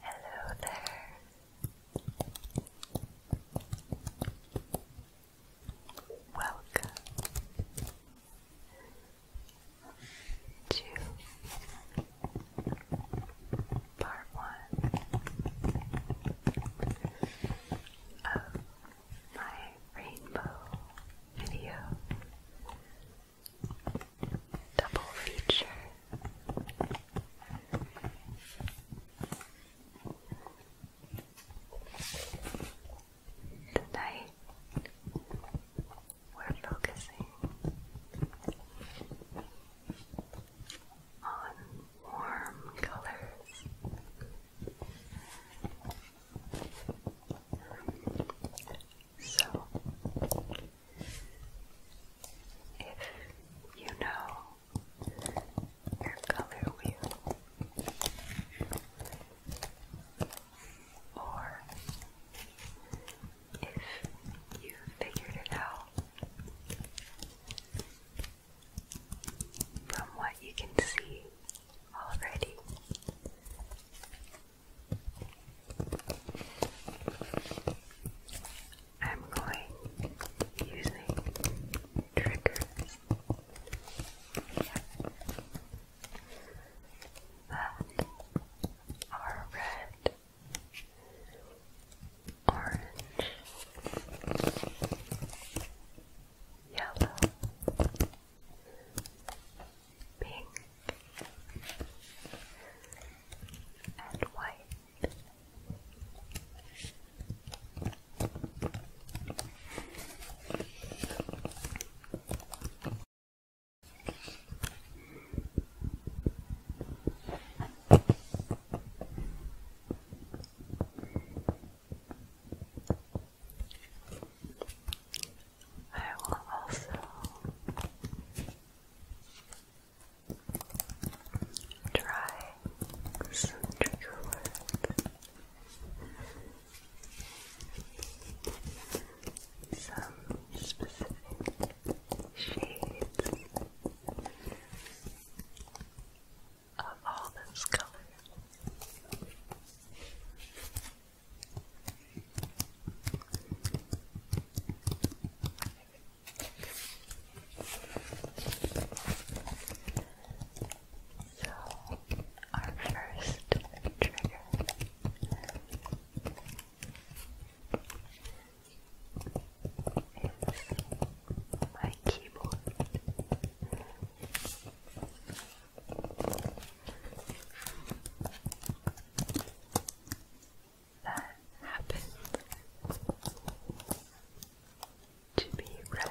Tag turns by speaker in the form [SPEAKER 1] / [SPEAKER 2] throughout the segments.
[SPEAKER 1] Hello there. Welcome to part one of my rainbow video double feature. Tonight we're focusing on warm colors so, if you know your color wheel or if you figured it out from what you can see already, I'm going using triggers that are red, orange, yellow, pink and white. I will also try some trigger some specific shades of all those colors. So, our first trigger is my keyboard that happened to be red.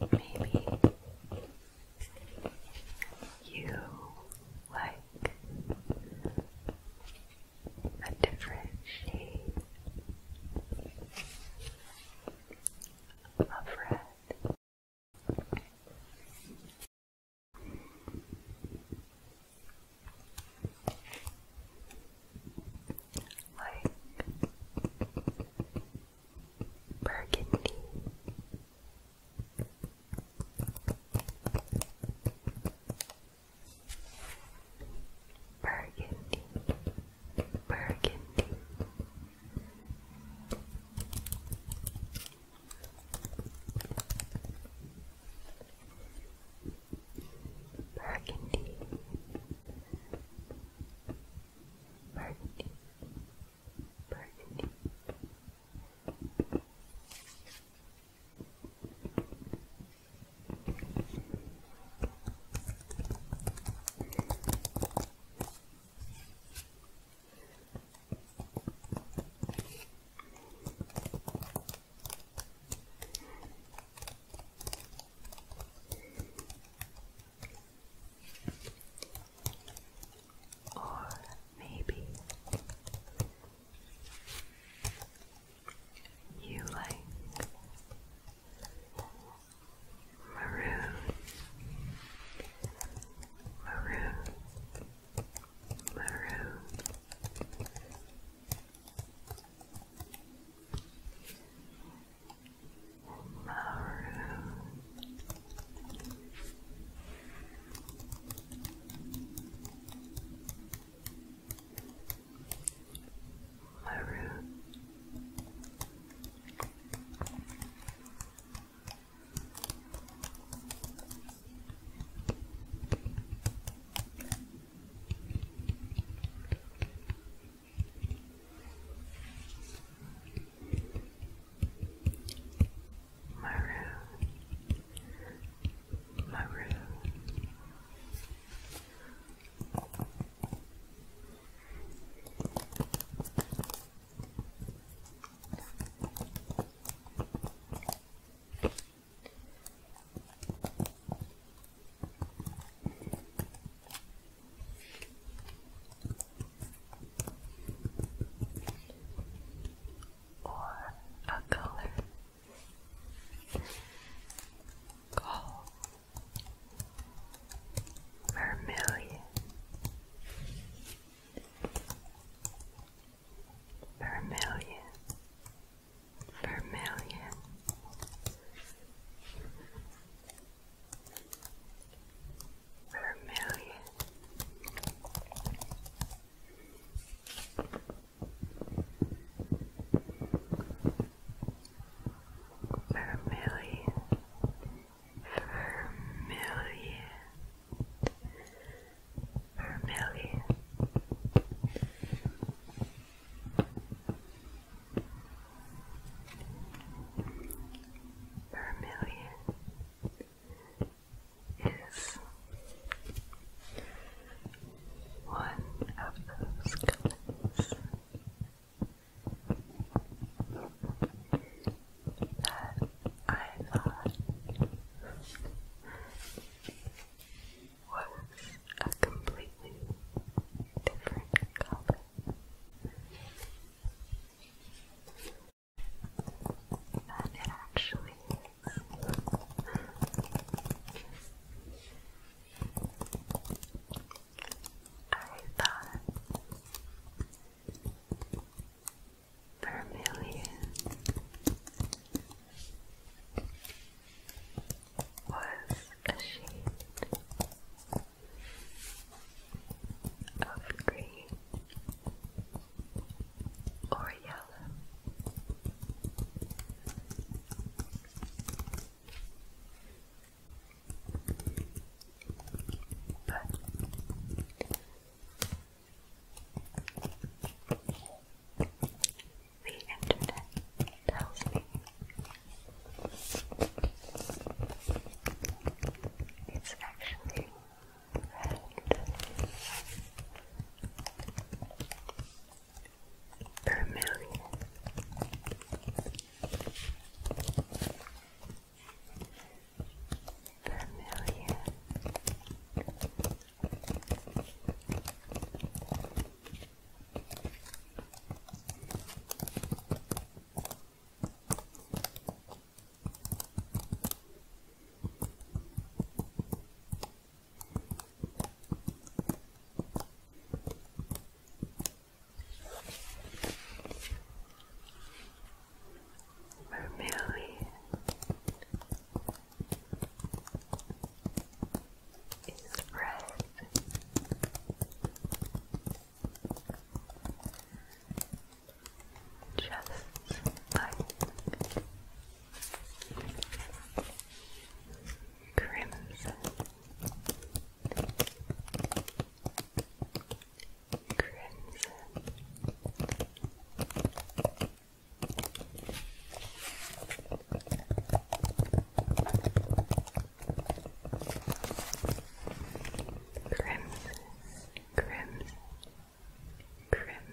[SPEAKER 1] Maybe you like a different shade of red like burgundy. Burgundy, burgundy, Burgundy, burgundy, burgundy. Or maybe you like maroon, maroon, maroon. Maroon. Maroon. Maroon, maroon. Maroon, or a color called vermilion vermilion, vermilion. Vermilion Vermilion vermilion, vermilion. Vermilion is one of those colors that I thought was a completely different color. Than it actually is. I thought per was a shade of green or yellow. But the internet tells me it's actually red. Vermilion vermilion vermilion is red. Just like crimson crimson. Crimson, crimson, crimson. Crimson,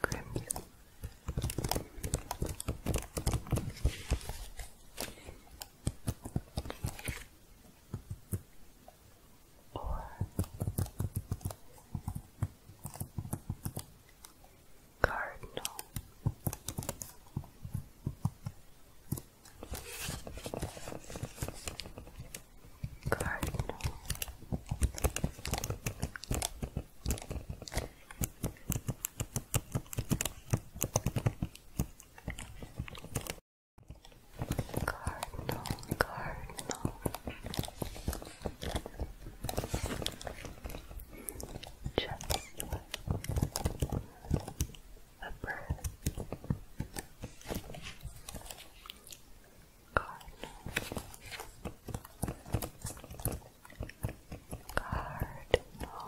[SPEAKER 1] Crimson. Or cardinal garden. Cardinal, cardinal. Just a Cardinal. Cardinal.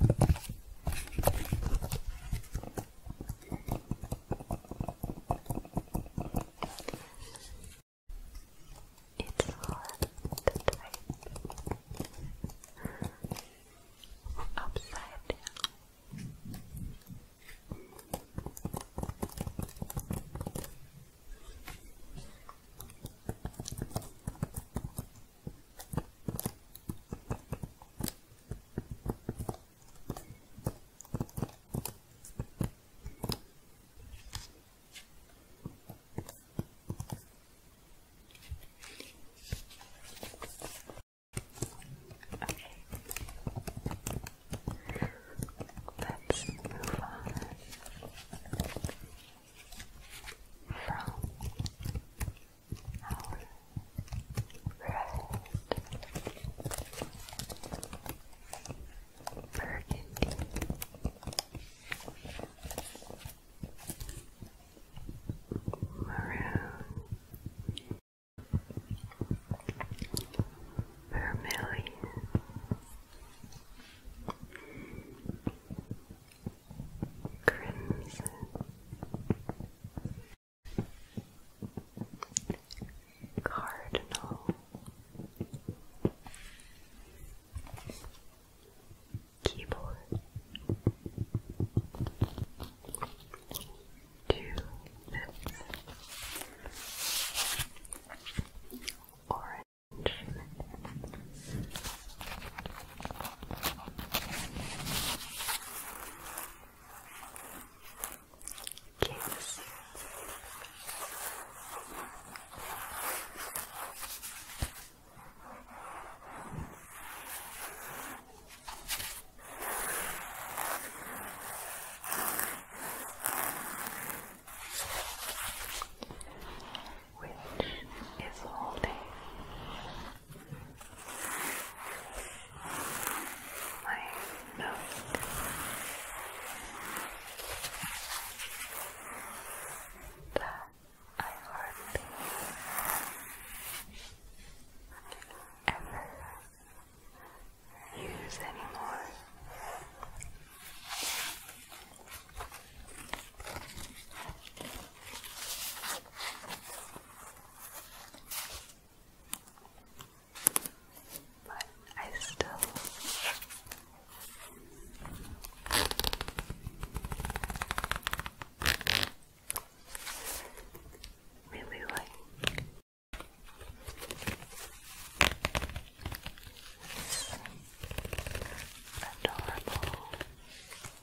[SPEAKER 1] It's hard to type upside down. Okay. Let's move on from our red burgundy. Maroon, vermilion, crimson. Cardinal Keyboard Two Lips Orange Kiss. Which is holding my nose. That I hardly ever use anymore. But I still really like adorable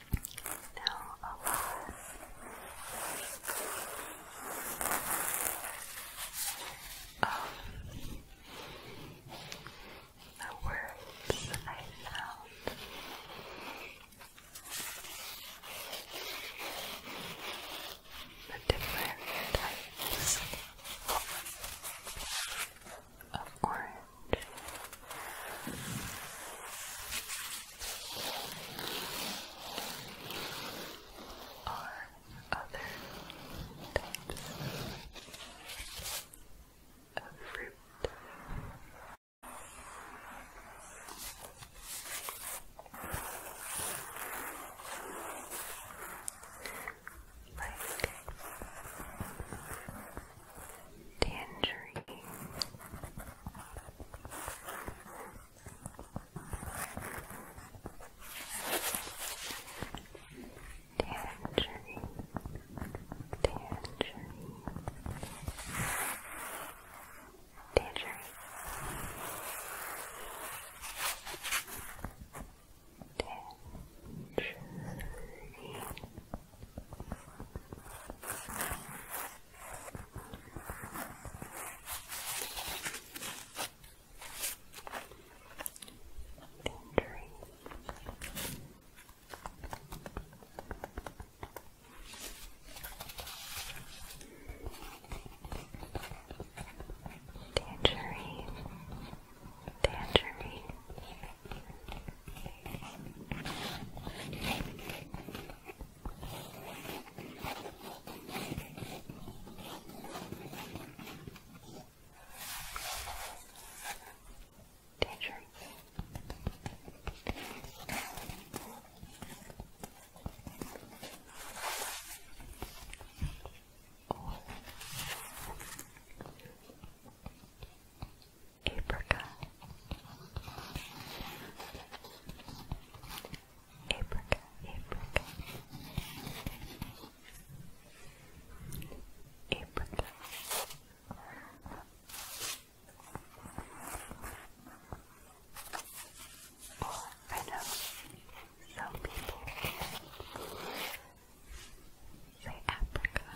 [SPEAKER 1] know a the words I found. The different types of orange are other types of fruit tangerine. Tangerine, tangerine, tangerine, tangerine, Injury. Tangerine, tangerine. Tangerine. Danger. Apricot. Apricot, apricot. Apricot. Or oh, I know some people say apricot.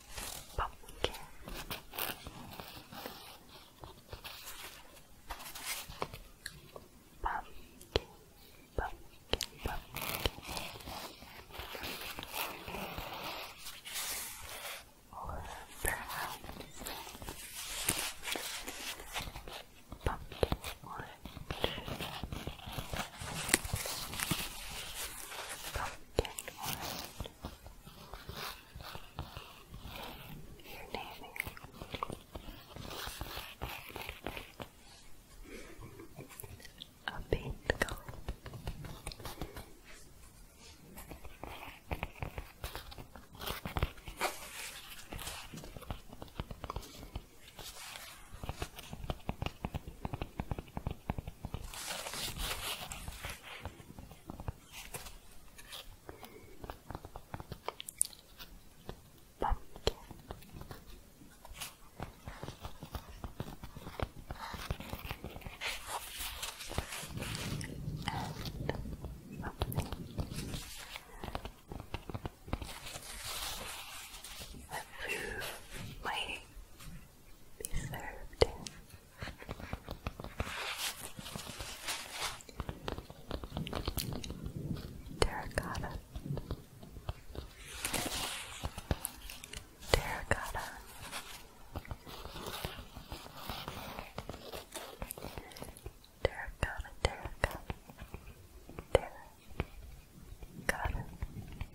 [SPEAKER 1] pumpkin pumpkin pumpkin pumpkin or perhaps pumpkin orange pumpkin Okay, alright. naming. A pink color. Pumpkin. And something that be served in. Terracotta. Terracotta. Terracotta, terracotta, terracotta, Terracotta. Terracotta. Terracotta.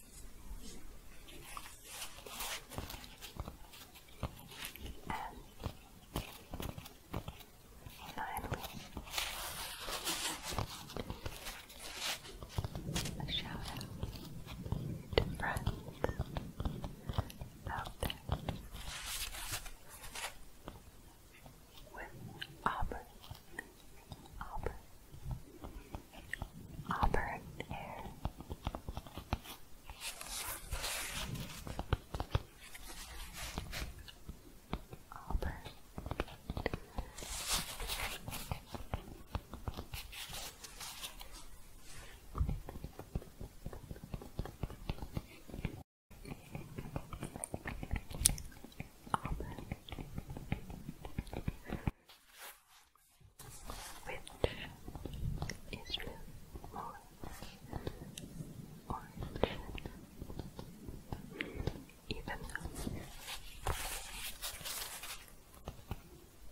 [SPEAKER 1] And finally, a shout to friends out there with Auburn, Auburn, auburn hair. Auburn. Auburn which is blue, orange, even though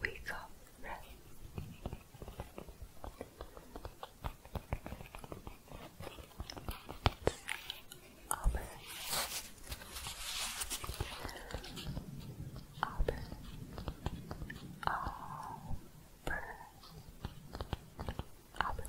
[SPEAKER 1] we got red. Auburn. Auburn. Auburn. Auburn. Auburn.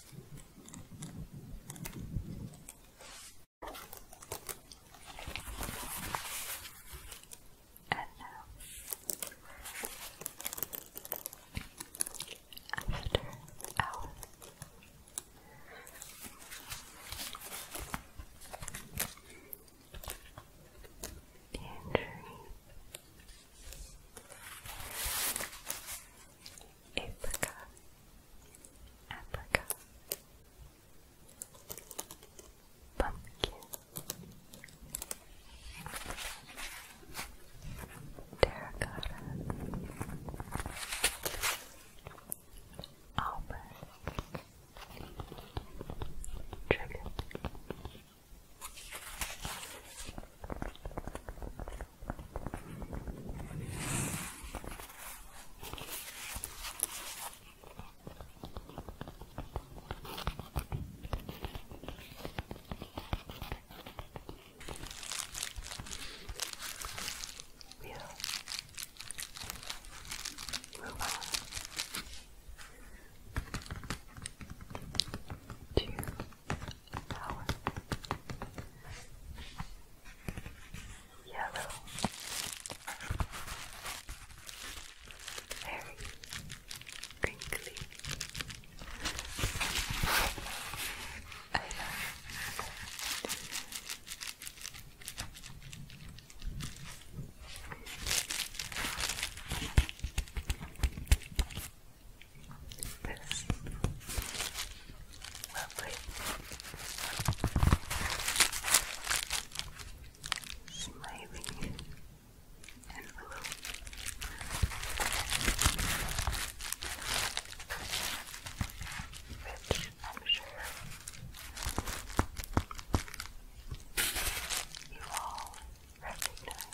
[SPEAKER 1] And now, after our injury Aprica, Aprica, Pumpkin, Terracotta, Auburn, Trigger. Yeah. Move on. Two power. Yellow. Very crinkly. I love this. Lovely. Smiling envelope. Which I'm sure you all recognize.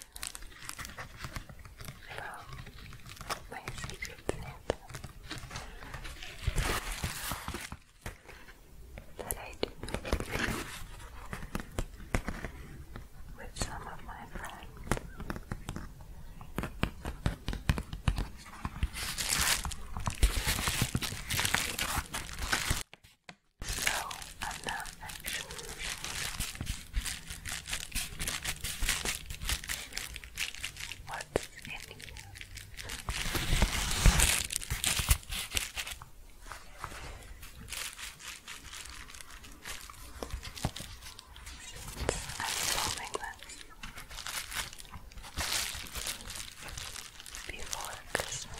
[SPEAKER 1] Well, my secret that I do with some of my friends. So I'm what's in I'm filming this before Christmas.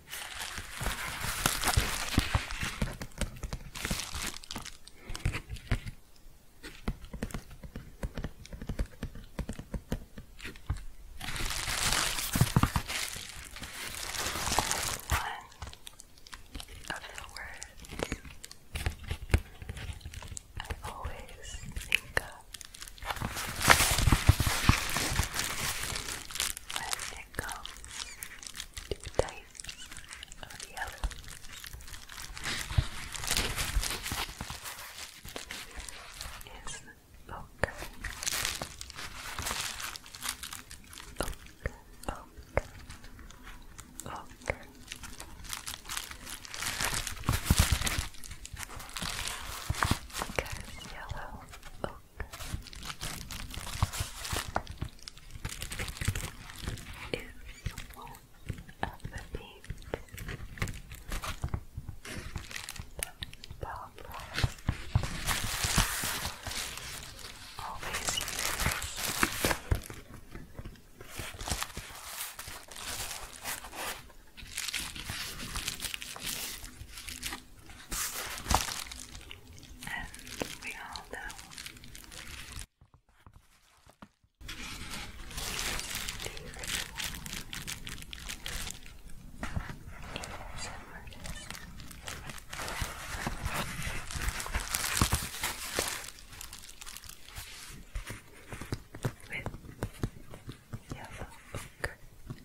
[SPEAKER 1] One of the words I always think of when it comes to types of yellow. Is ochre. Ochre, ochre, ochre. yellow ochre is one of the beats Barbara always and we all know the ritual is a with yellow ochre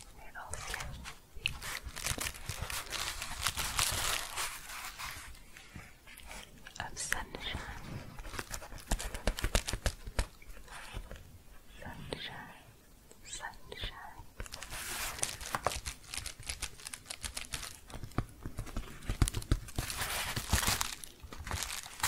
[SPEAKER 1] Of Sunshine. Sunshine. Sunshine.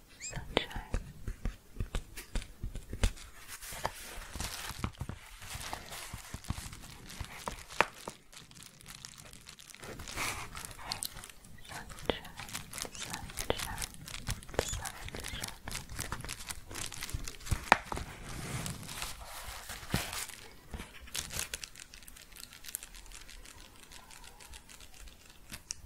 [SPEAKER 1] sunshine. Sunshine, sunshine, sunshine.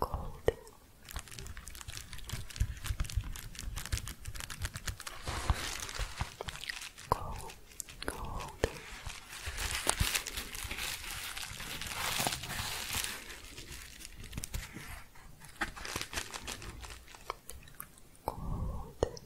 [SPEAKER 1] Gold. Gold. Gold. Gold.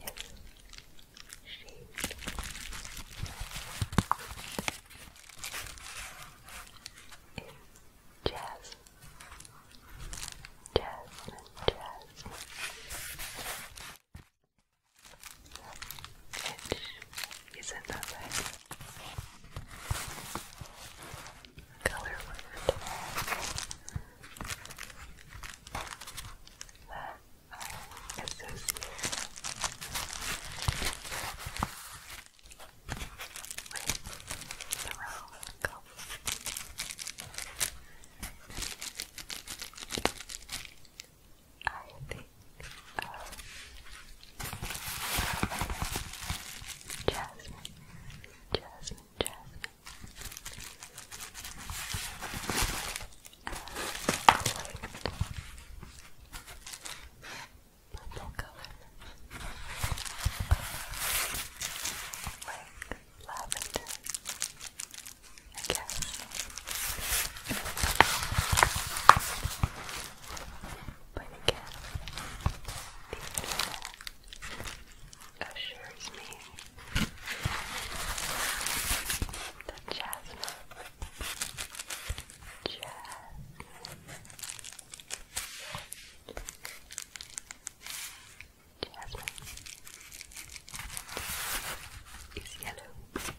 [SPEAKER 1] yes, shade. It's jazz, jasmine, is another color word that I associate with the wrong I think of jasmine, jasmine, jasmine, Purple color, like lavender, I guess. But again, the internet assures me the jasmine. Jasmine. Jasmine is yellow. Jasmine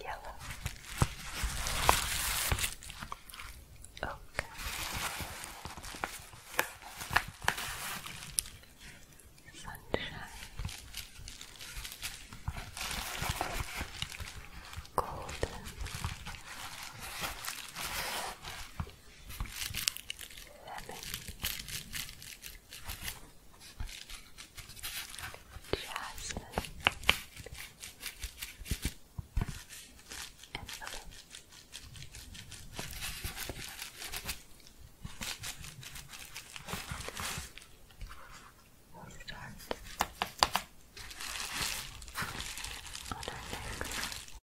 [SPEAKER 1] Yellow. Oak. Sunshine. Golden. Seven. Jasmine. And blue. on our next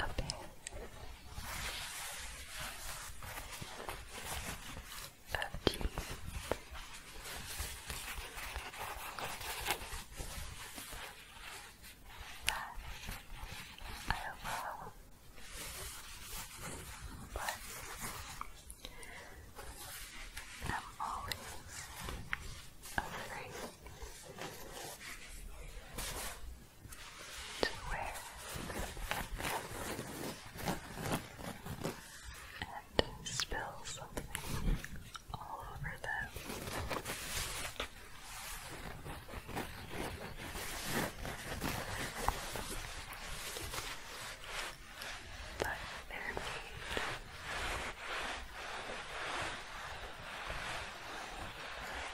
[SPEAKER 1] up there. Oh, jeez. That I will, but I'm always afraid to wear and spill something all over them. But they're made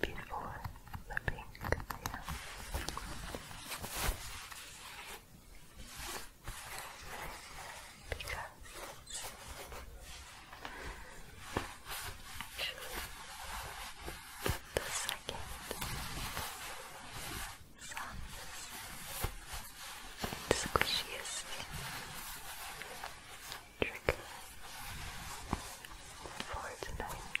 [SPEAKER 1] before the pink yeah. because the second softest and squishiest trigger for tonight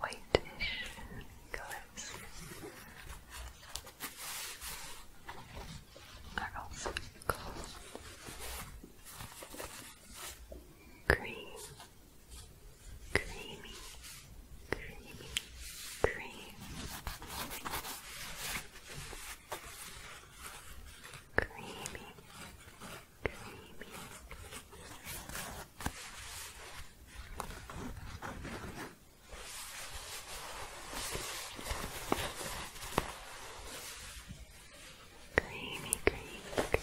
[SPEAKER 1] whitish colors are also called cream, creamy, creamy, creamy, creamy, Creamy, creamy, creamy. Creamy.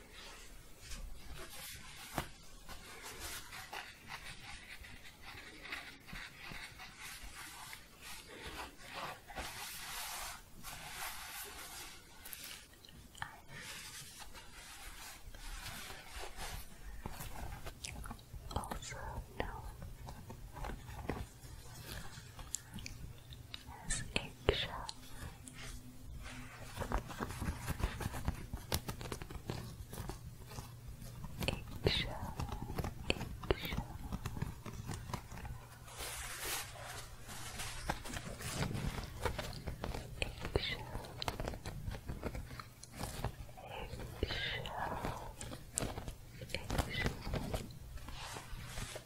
[SPEAKER 1] Also, no his eggshells. Eggshell, eggshell. Eggshell. Eggshell.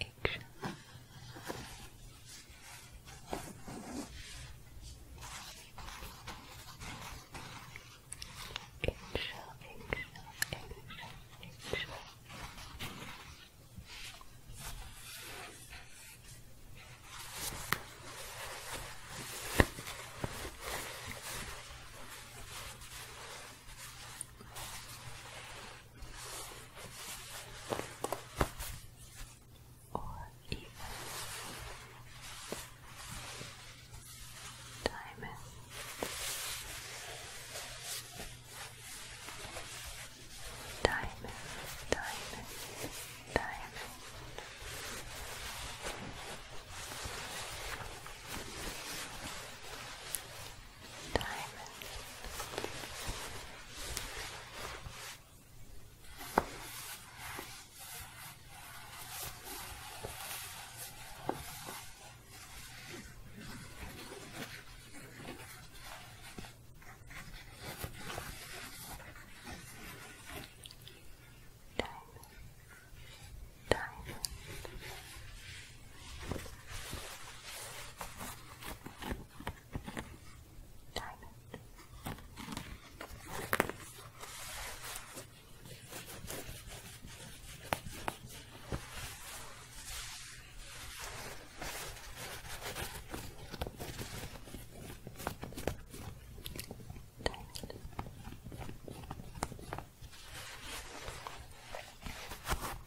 [SPEAKER 1] action. Eggshell, eggshell, eggshell, or even diamond. Diamond, diamond, diamond diamond, diamond diamond. Diamond. Pearl.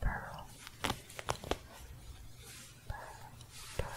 [SPEAKER 1] Pearl. Pearl. Pearl.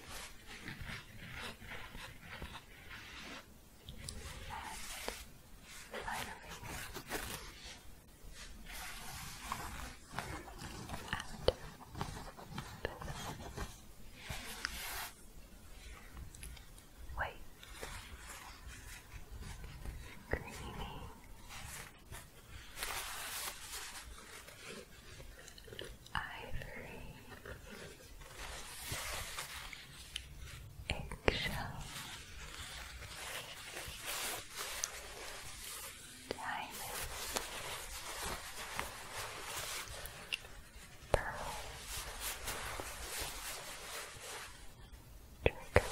[SPEAKER 1] And finally, out Wait, creamy, ivory, eggshell, diamond, pearl, trigger.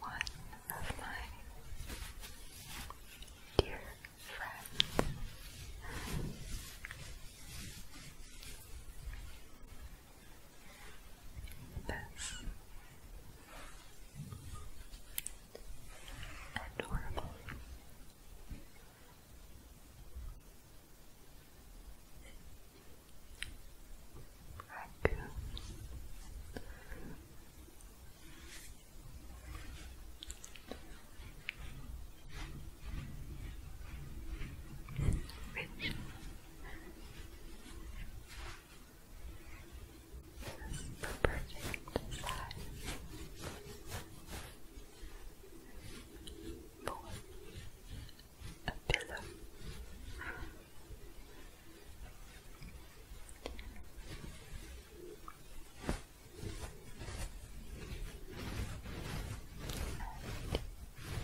[SPEAKER 1] One of my dear friends this adorable raccoon which perfect size for a pillow.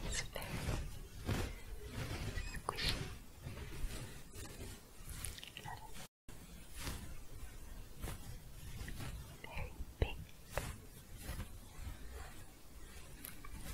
[SPEAKER 1] It's very squishy. Very big.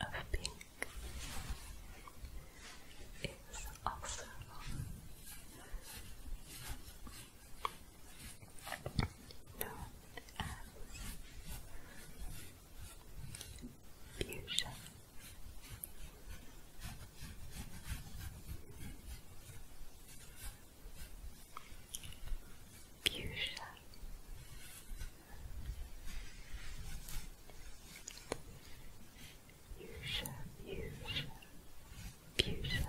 [SPEAKER 1] of pink is also known as fuchsia. Fuchsia. Fuchsia, fuchsia, fuchsia.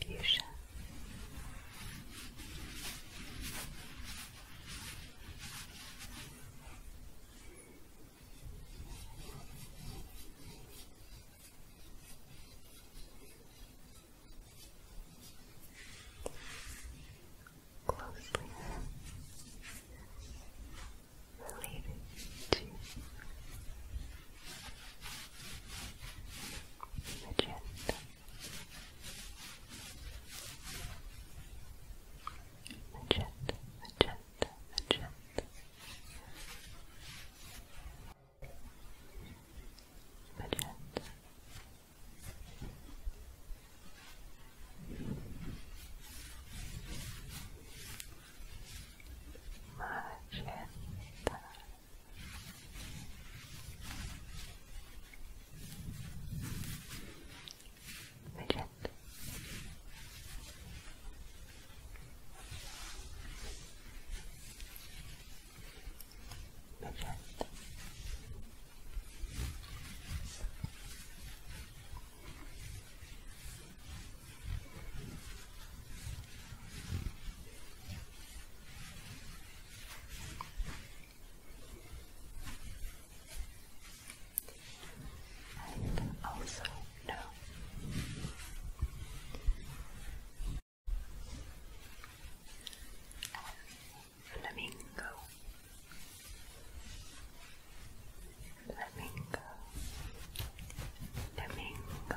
[SPEAKER 1] fuchsia. Closely related to magenta. Magenta, magenta, magenta. Magenta. Magenta. Legit. Legit. Legit and also no. And flamingo, flamingo, flamingo. Flamingo,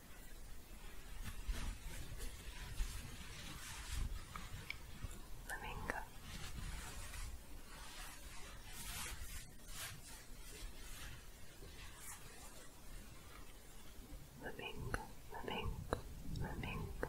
[SPEAKER 1] Flamingo. Flamingo, flamingo, flamingo.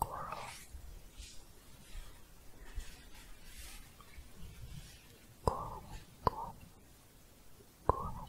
[SPEAKER 1] coral coral coral coral coral Coral,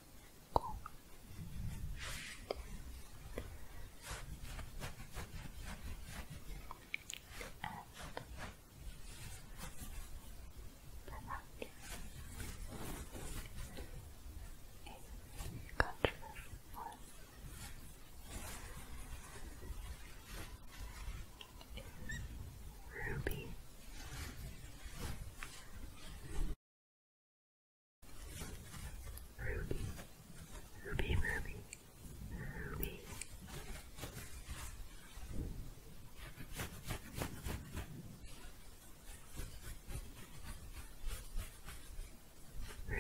[SPEAKER 1] Cool. And a controversial one is Ruby. Ruby, Ruby, Ruby, Ruby. Ruby. Which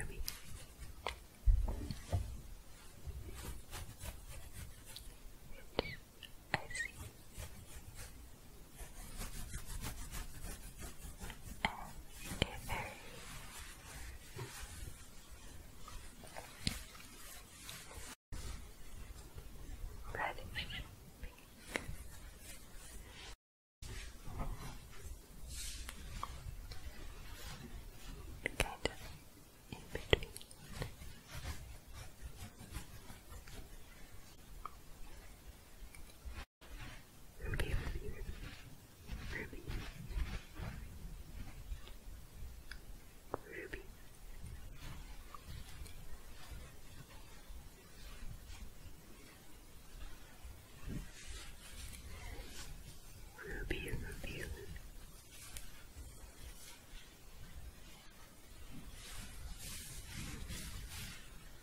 [SPEAKER 1] I see and a Red, pink. Kind of in between. Ruby, Ruby, Ruby, Ruby,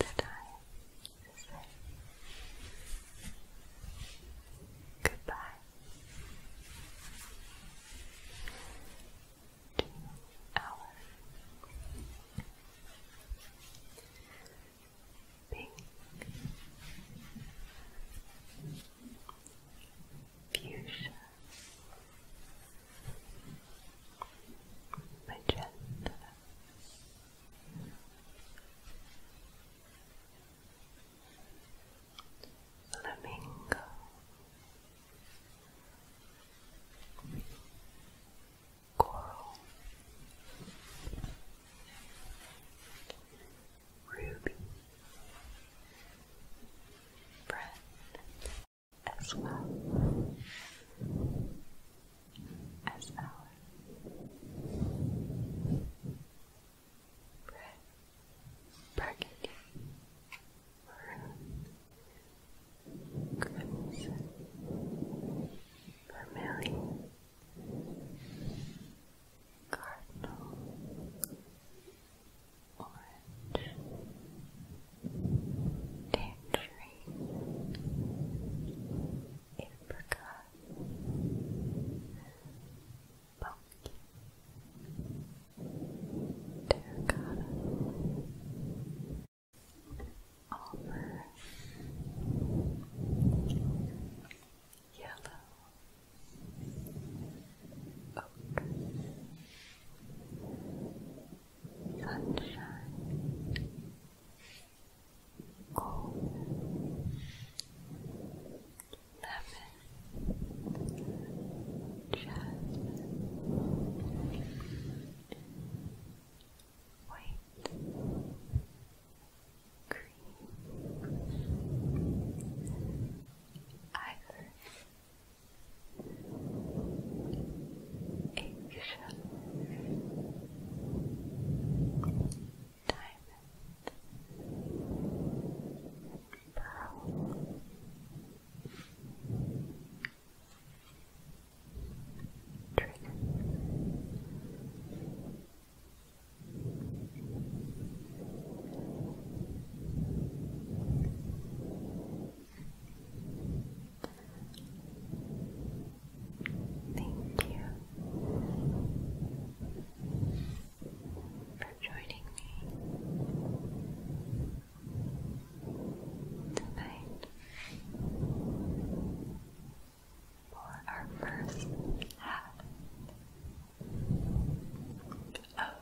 [SPEAKER 1] It's time goodbye pink fuchsia magenta Flamingo Coral Ruby Bread as well as our burgundy, maroon, crimson, vermilion, cardinal, orange, tangerine apricot, pumpkin, terracotta, Almond, yellow, oak, sunshine, gold, lemon, jasmine, white, cream, ivory, acorn, diamond, pearl. Trident. Thank you for joining me tonight for our first half of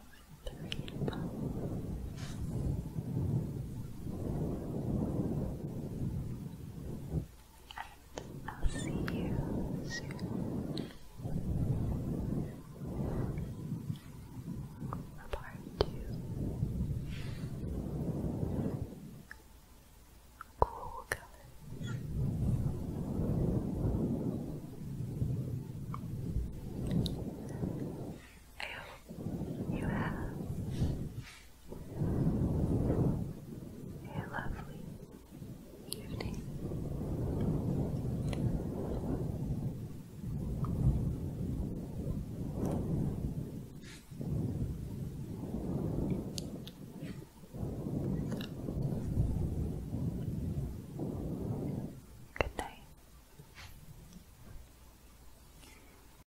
[SPEAKER 1] the reading I'll see you soon part two. Cool colors. I hope you have a lovely evening. Good night.